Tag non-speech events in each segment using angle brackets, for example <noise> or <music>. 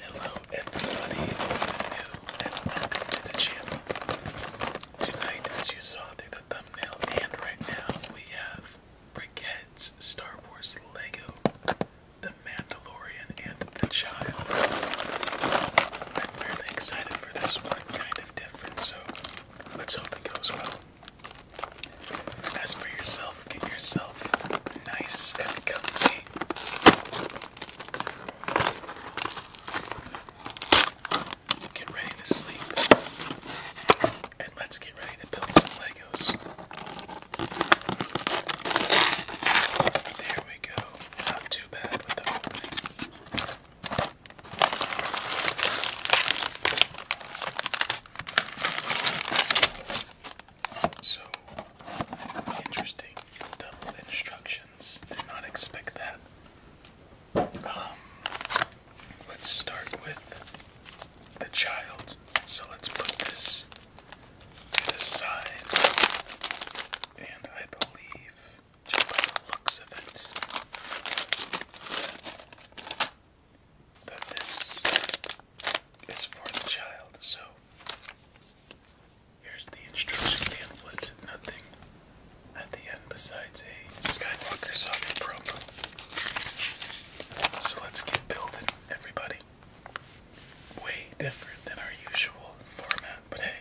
Hello everybody new and welcome to the channel. Tonight as you saw through the thumbnail and right now we have Briquette's Star Wars Lego, The Mandalorian and The Child. I'm fairly excited for this one, kind of different, so let's hope it goes well. As for yourself, get yourself nice and comfy. Get ready to sleep. And let's get ready to build some Legos. There we go. Not too bad so interesting double instructions. Did not expect that. Um, let's start with the child. So let's put this to the side, and I believe, just by the looks of it, that this is for the child. So here's the instruction pamphlet. Nothing at the end besides a Skywalker Saga promo. So let's get building, everybody. Way different than our usual format, but hey.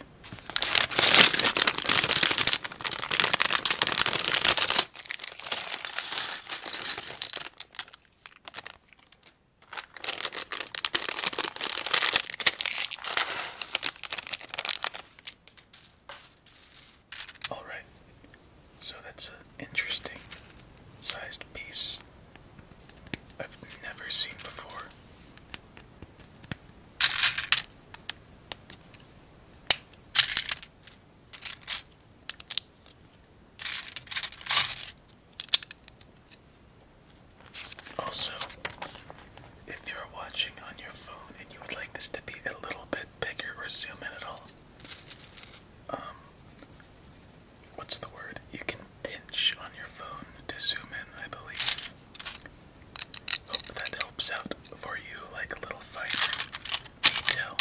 All right. So that's an interesting sized piece I've never seen before. Also, if you're watching on your phone and you would like this to be a little bit bigger or zoom in at all, um, what's the word? You can pinch on your phone to zoom in, I believe. Hope that helps out for you, like a little finer detail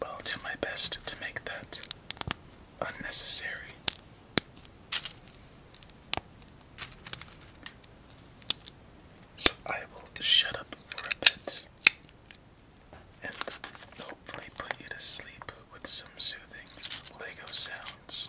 but I'll do my best to make that unnecessary. So I will shut up for a bit and hopefully put you to sleep with some soothing Lego sounds.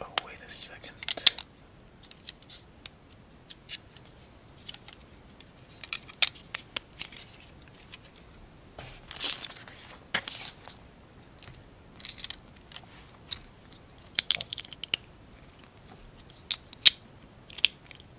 Oh, wait a second.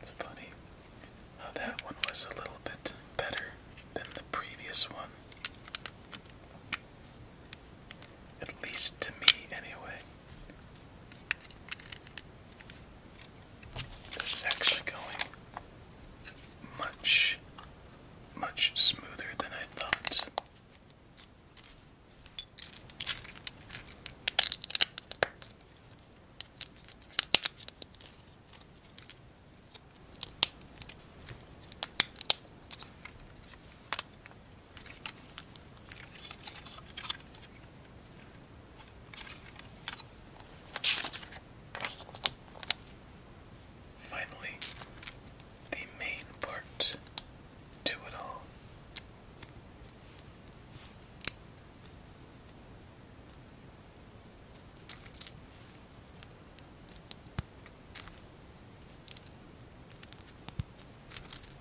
It's funny how that one was a little bit better than the previous one. At least to me, anyway. This is actually going much, much smoother than I thought. Finally, the main part to it all.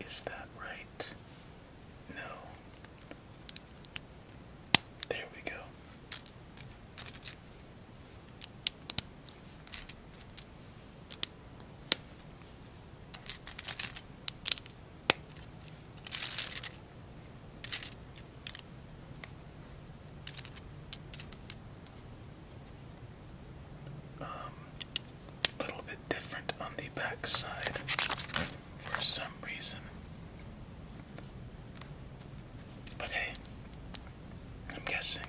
Is that right? No. There we go um, little bit different on the back side for some reason. But hey, I'm guessing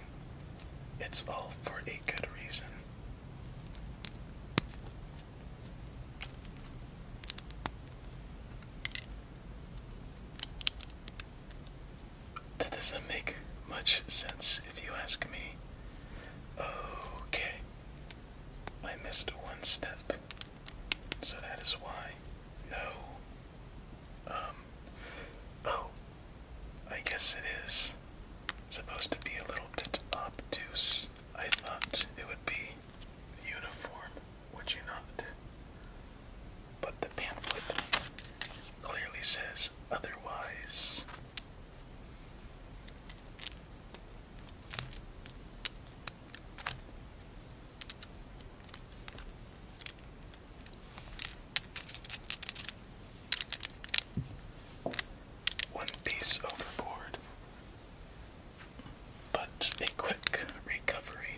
it's all for a good reason. That doesn't make much sense if you ask me. Okay. I missed one step. So that is why. No. Um. Oh. I guess it is supposed to be a little bit obtuse. I thought it would be uniform, would you not? but the pamphlet clearly says otherwise. One piece overboard, but a quick recovery.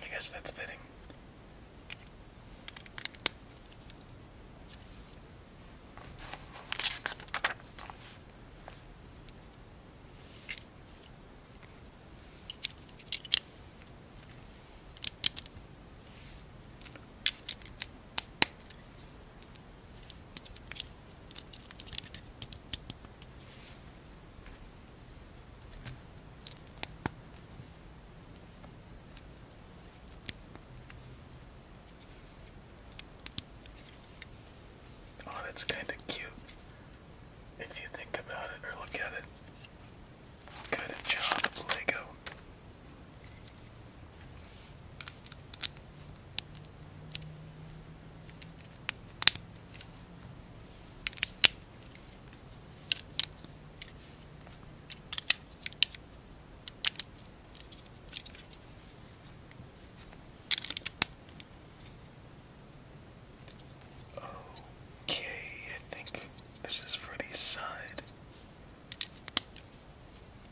I guess that's fitting. Oh, that's kind of cute if you think about it or look at it. Good job, Lego. Okay, I think this is for the side.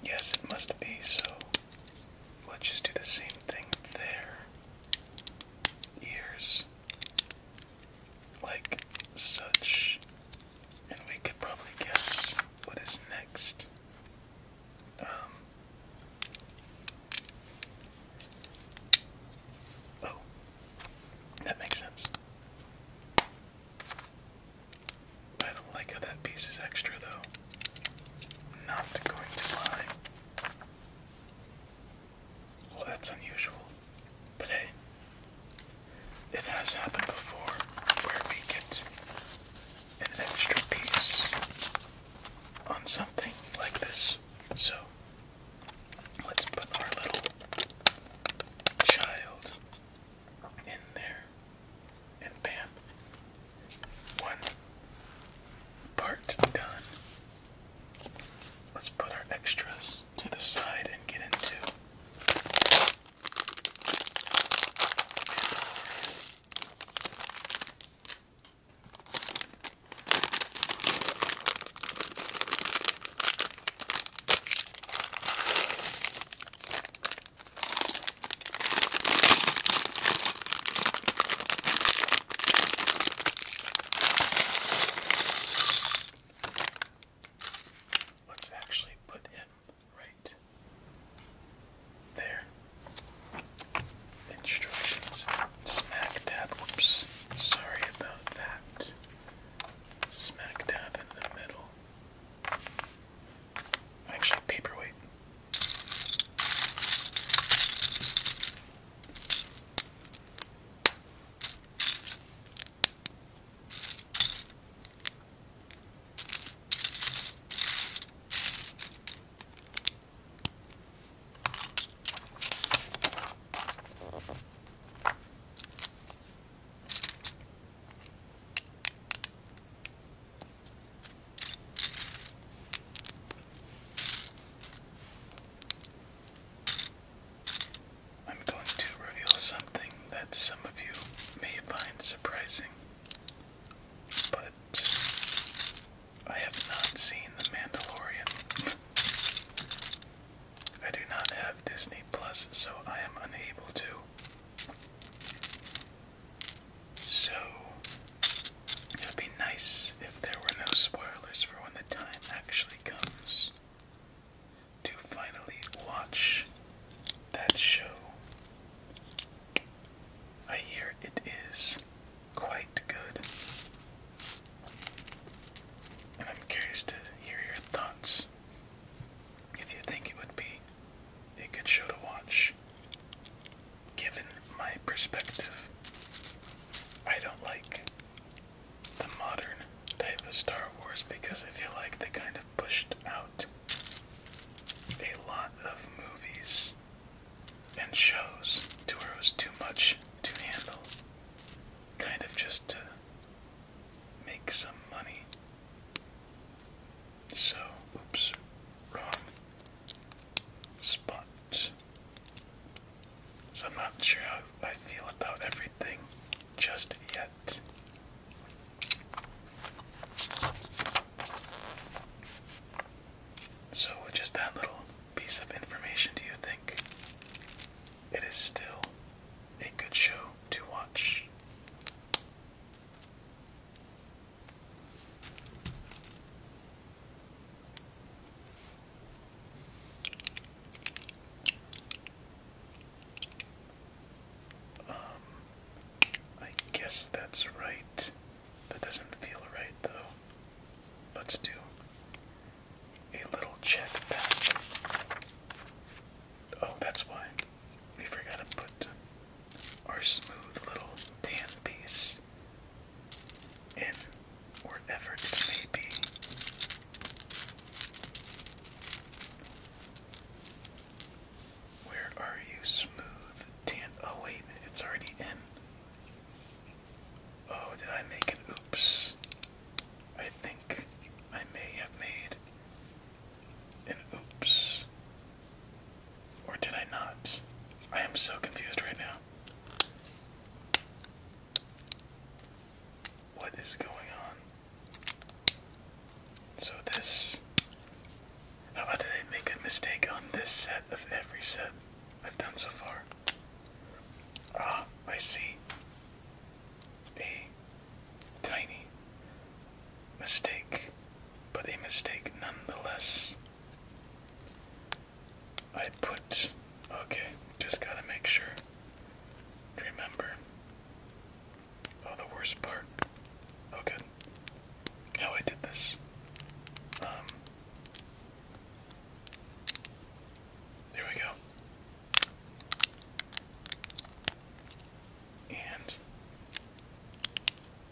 Yes, it must be, so let's just do the same thing there. Ears. Like such. And we could probably guess what is next. Um, oh. That makes sense. I don't like how that piece is extra though. not going to lie. Well, that's unusual. But hey, it has happened before where we get an extra piece on something like this. So, Let's put our little child in there. And bam. One part done. Let's put our extras to the side and get into Let's actually put him right there. Instructions. Smack dab. Whoops. Sorry about that. Smack dab in the middle. Actually, paperweight. I'm going to reveal something that some of you may find surprising, but I have not seen The Mandalorian. <laughs> I do not have Disney Plus, so I am unable to. So, it would be nice if there were no spoilers for when the time actually comes to finally watch that show. I hear it is quite good. I'm curious to hear your thoughts. If you think it would be a good show to watch, given my perspective, I don't like the modern type of Star Wars because I feel like they kind of pushed out a lot of movies and shows to where it was too much to handle. Kind of just to make some money. So, oops, wrong spot. So, I'm not sure how I feel about everything just yet. So, with just that little piece of information, do you think it is still a good show to watch. Um, I guess that's right. That doesn't feel right though. Let's do a little check back. Oh, that's why we forgot to put our smooth little tan piece in wherever it may be. Where are you, smooth tan? Oh, wait, it's already in. Oh, did I make an oops? I think I may have made an oops. Or did I not? I am so confused right now. What is going on? So, this. How about did I make a mistake on this set of every set I've done so far? Ah, I see a tiny mistake, but a mistake nonetheless. I put. Okay, just gotta make sure. Remember. Oh, the worst part. Oh, good. How I did this. Um. Here we go. And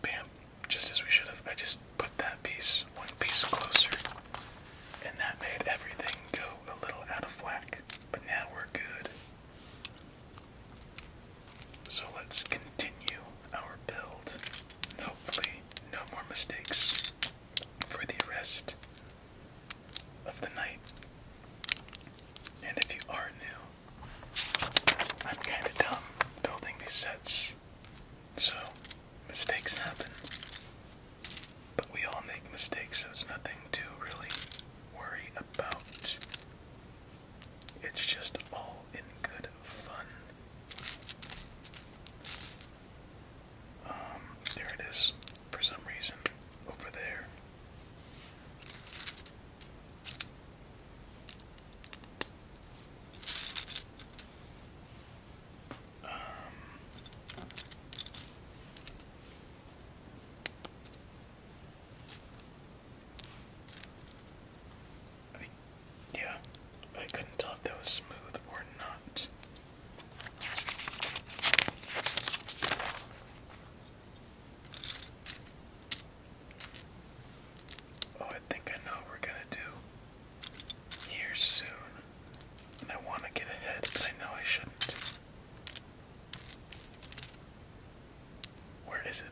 bam, just as we should have, I just put that piece one piece closer. And that made everything go a little out of whack. But now we're good. So let's continue our build. Hopefully, no more mistakes for the rest of the night. And if you are new, I'm kind of dumb building these sets, so mistakes happen. But we all make mistakes, so it's nothing to really worry about. It's just all in good fun. Um, there it is, for some reason, over there. Um, yeah, I couldn't tell if that was smooth or not. Oh, I think I know what we're gonna do here soon. And I want to get ahead, but I know I shouldn't. Where is it?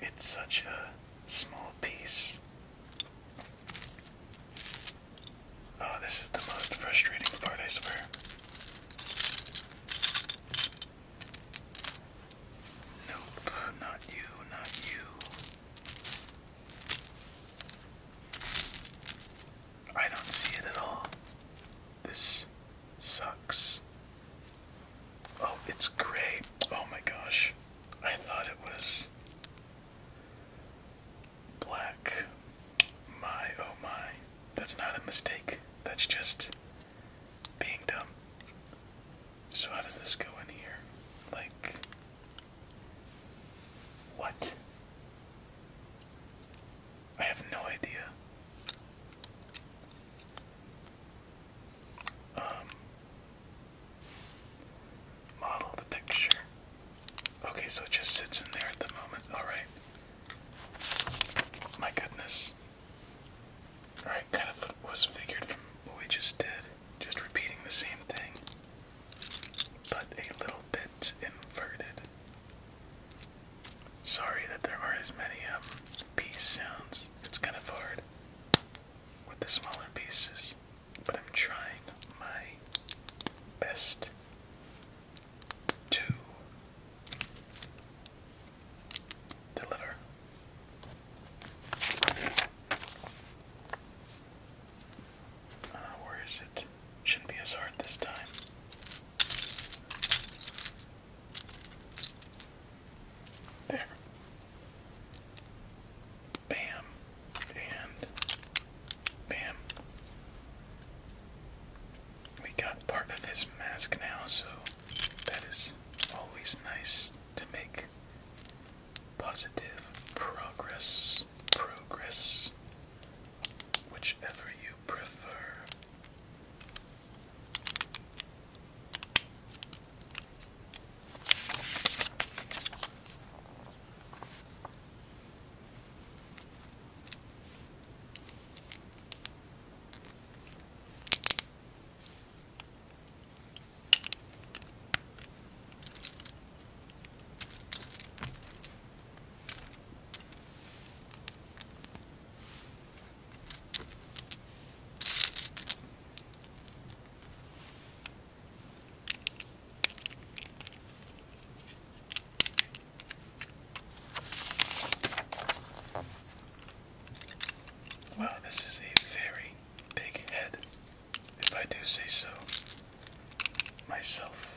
It's such a small piece. Oh, this is the most frustrating part, I swear. Nope, not you, not you. I don't see it at all. This sucks. Oh, it's gray. Oh my gosh. I thought it was black. My, oh my. That's not a mistake. That's just being dumb. So how does this go in here? Like what? I have no idea. Um model the picture. Okay, so it just sits in there at the moment. Alright. My goodness. Alright, kind of was figured from what we just did just repeating the same thing, but a little bit inverted. Sorry that there aren't as many um, sounds. It's kind of hard with the smaller pieces, but I'm trying my best to deliver uh, where is it? Shouldn't be as hard this time. There. Bam. And bam. We got part of his mask now, so that is always nice to make positive progress, progress, whichever you prefer. Wow, this is a very big head, if I do say so myself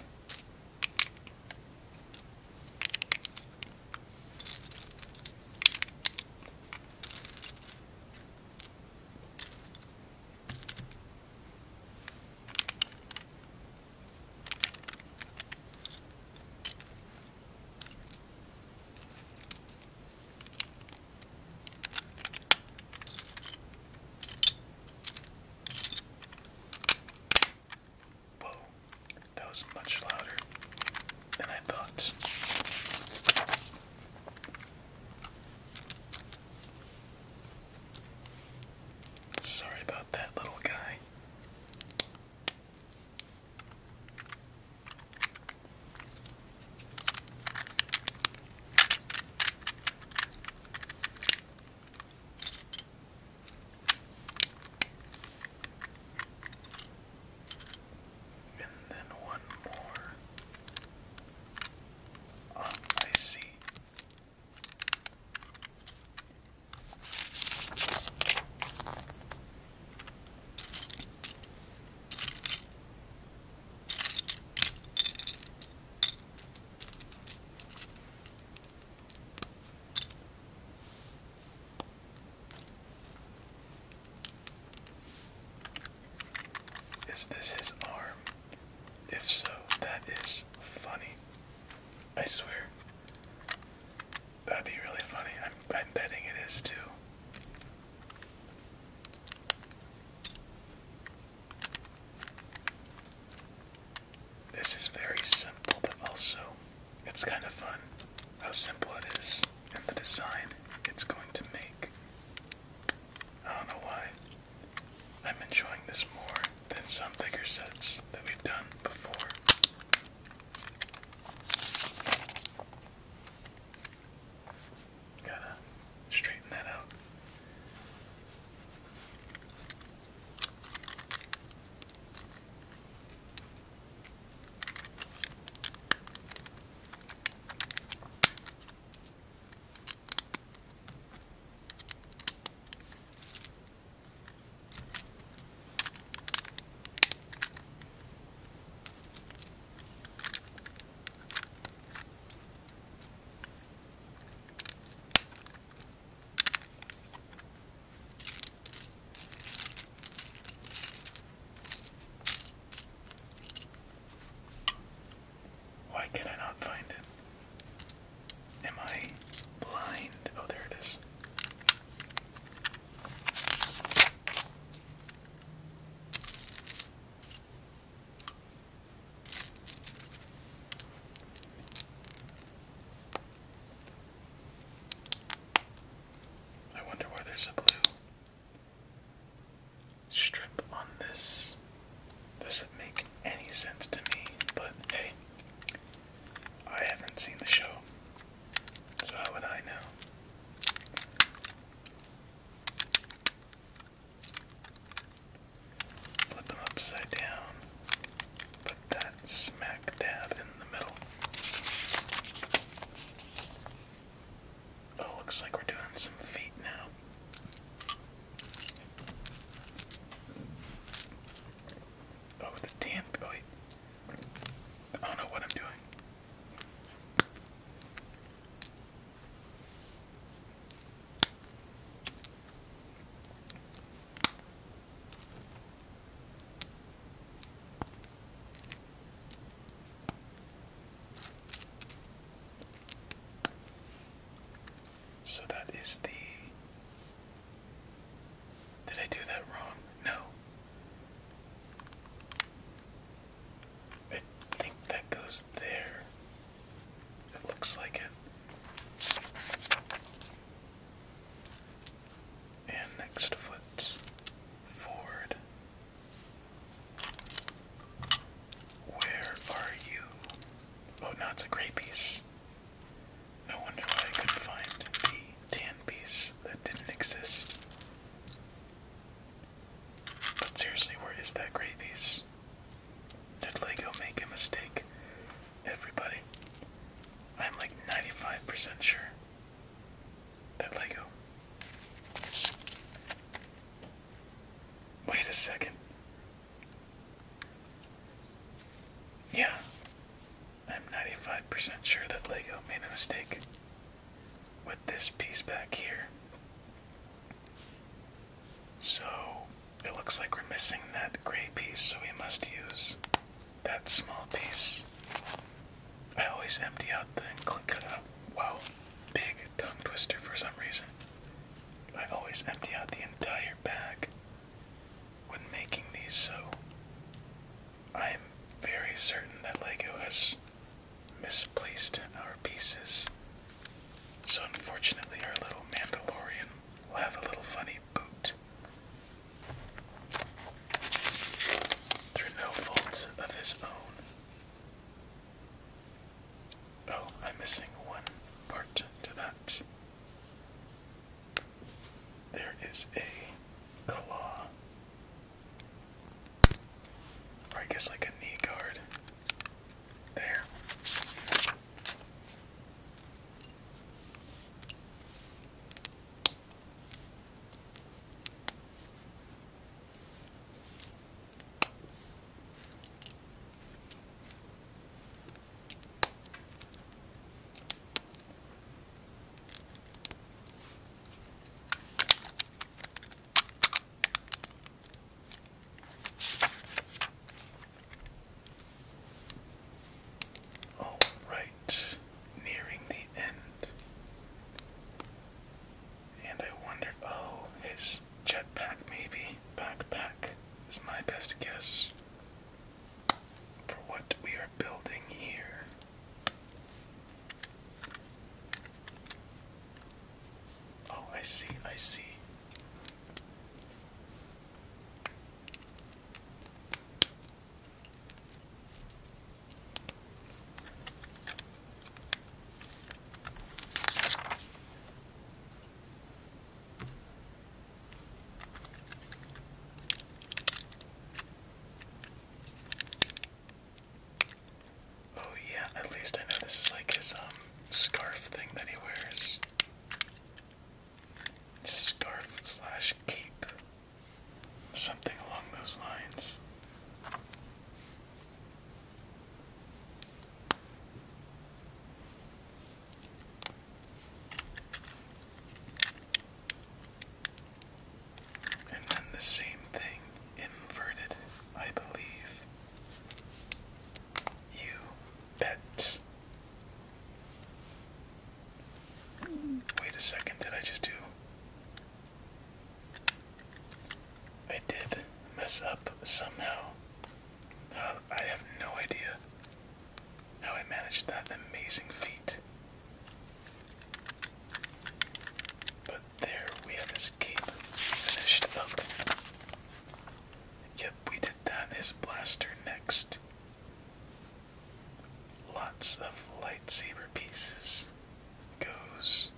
that was much louder than I thought. Sorry about that little guy. And then one more. Ah, oh, I see. Is this his arm? If so, that is funny. I swear. That'd be really funny. I'm, I'm betting it is too. This is very simple, but also it's kind of fun how simple it is and the design it's going to make. I don't know why. I'm enjoying this more than some bigger sets that we've done before. Gotta straighten that out. Why can I not find it? Am I blind? Oh, there it is. I wonder why there's a blue strip on this. Doesn't make any sense to me, but hey, I haven't seen the show, so how would I know? Flip them upside down. Put that smack dab in the middle. Oh, looks like we're doing some feet now. Oh, the damn. Oh, I don't know what I'm doing. So that is the. Did I do that wrong? No, I think that goes there. It looks like it. And next foots forward. Where are you? Oh, now it's a gray piece. No wonder I couldn't find the tan piece that didn't exist. But seriously, where is that gray piece? Did Lego make a mistake? Everybody. I'm like 95% sure that Lego. Wait a second. Yeah, I'm 95% sure that Lego made a mistake with this piece back here. So it looks like we're missing that gray piece, so we must use that small piece. I always empty out the cut up. Wow, big tongue twister for some reason. I always empty out the entire bag when making these, so I'm very certain that LEGO has misplaced our pieces. So unfortunately our little Mandalorian will have a little funny boot. Through no fault of his own. Oh, I'm missing one part to that. There is a claw or I guess like a knee guard. There. All right, nearing the end. And I wonder, oh, his jetpack maybe, backpack is my best guess for what we are building here. Oh, I see, I see. Oh yeah, at least I know this is like his um scarf thing that he wears. Scarf slash cape. Something along those lines. And then the same thing inverted, I believe. You bet. Wait a second, did I just do? I did mess up somehow. Uh, I have no idea how I managed that amazing feat. But there we have his cape finished up. Yep, we did that. His blaster next. Lots of lightsaber pieces goes.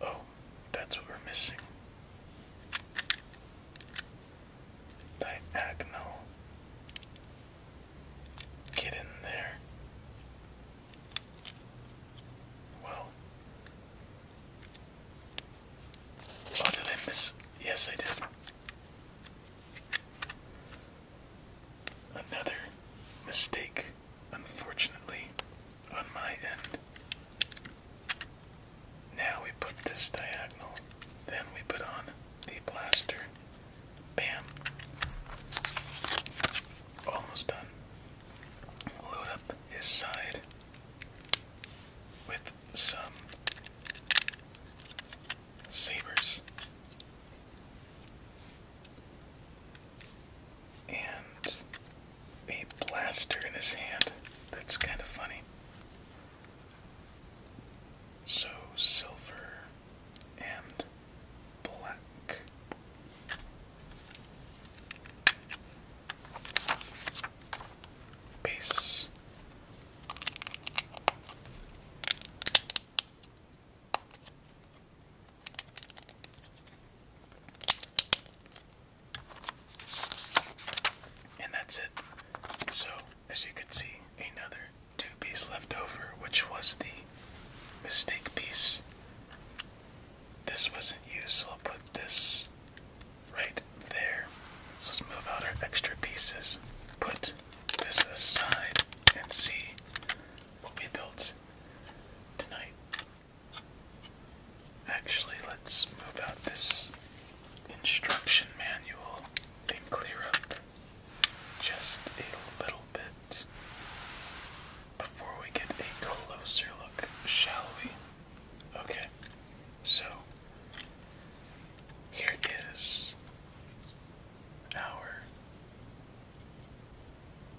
Oh, that's what we're missing diagonal. Get in there. Well, oh, did I miss? Yes, I did. Another mistake, unfortunately, on my end. Now we put this diagonal, then we put on the blaster. Bam. Almost done. Load up his side with some sabers. And a blaster in his hand. That's kind of funny. So silver and black. Base. And that's it. So, as you can see, another two piece left over, which was the mistake piece. This wasn't useful. so put this right there. So let's move out our extra pieces, put this aside, and see what we built tonight. Actually, let's move out this instruction manual and clear up just a little bit before we get a closer look, shall we? Okay, so here is our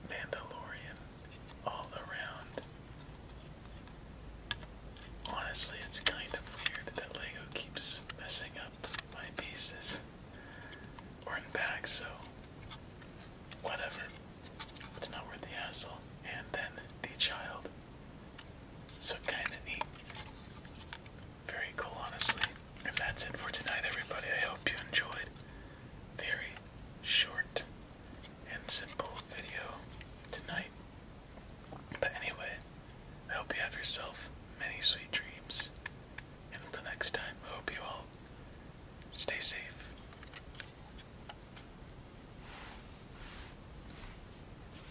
Mandalorian all around. Honestly, it's kind of weird that Lego keeps messing up my pieces or in bags, so whatever. It's not worth the hassle. And then the child. So kinda neat. Very cool, honestly. And that's it for tonight, everybody. I hope you enjoyed. Very short and simple video tonight. But anyway, I hope you have yourself many sweet dreams. And until next time, I hope you all stay safe.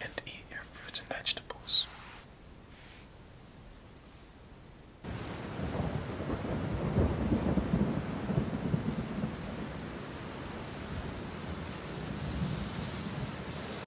And eat your fruits and vegetables.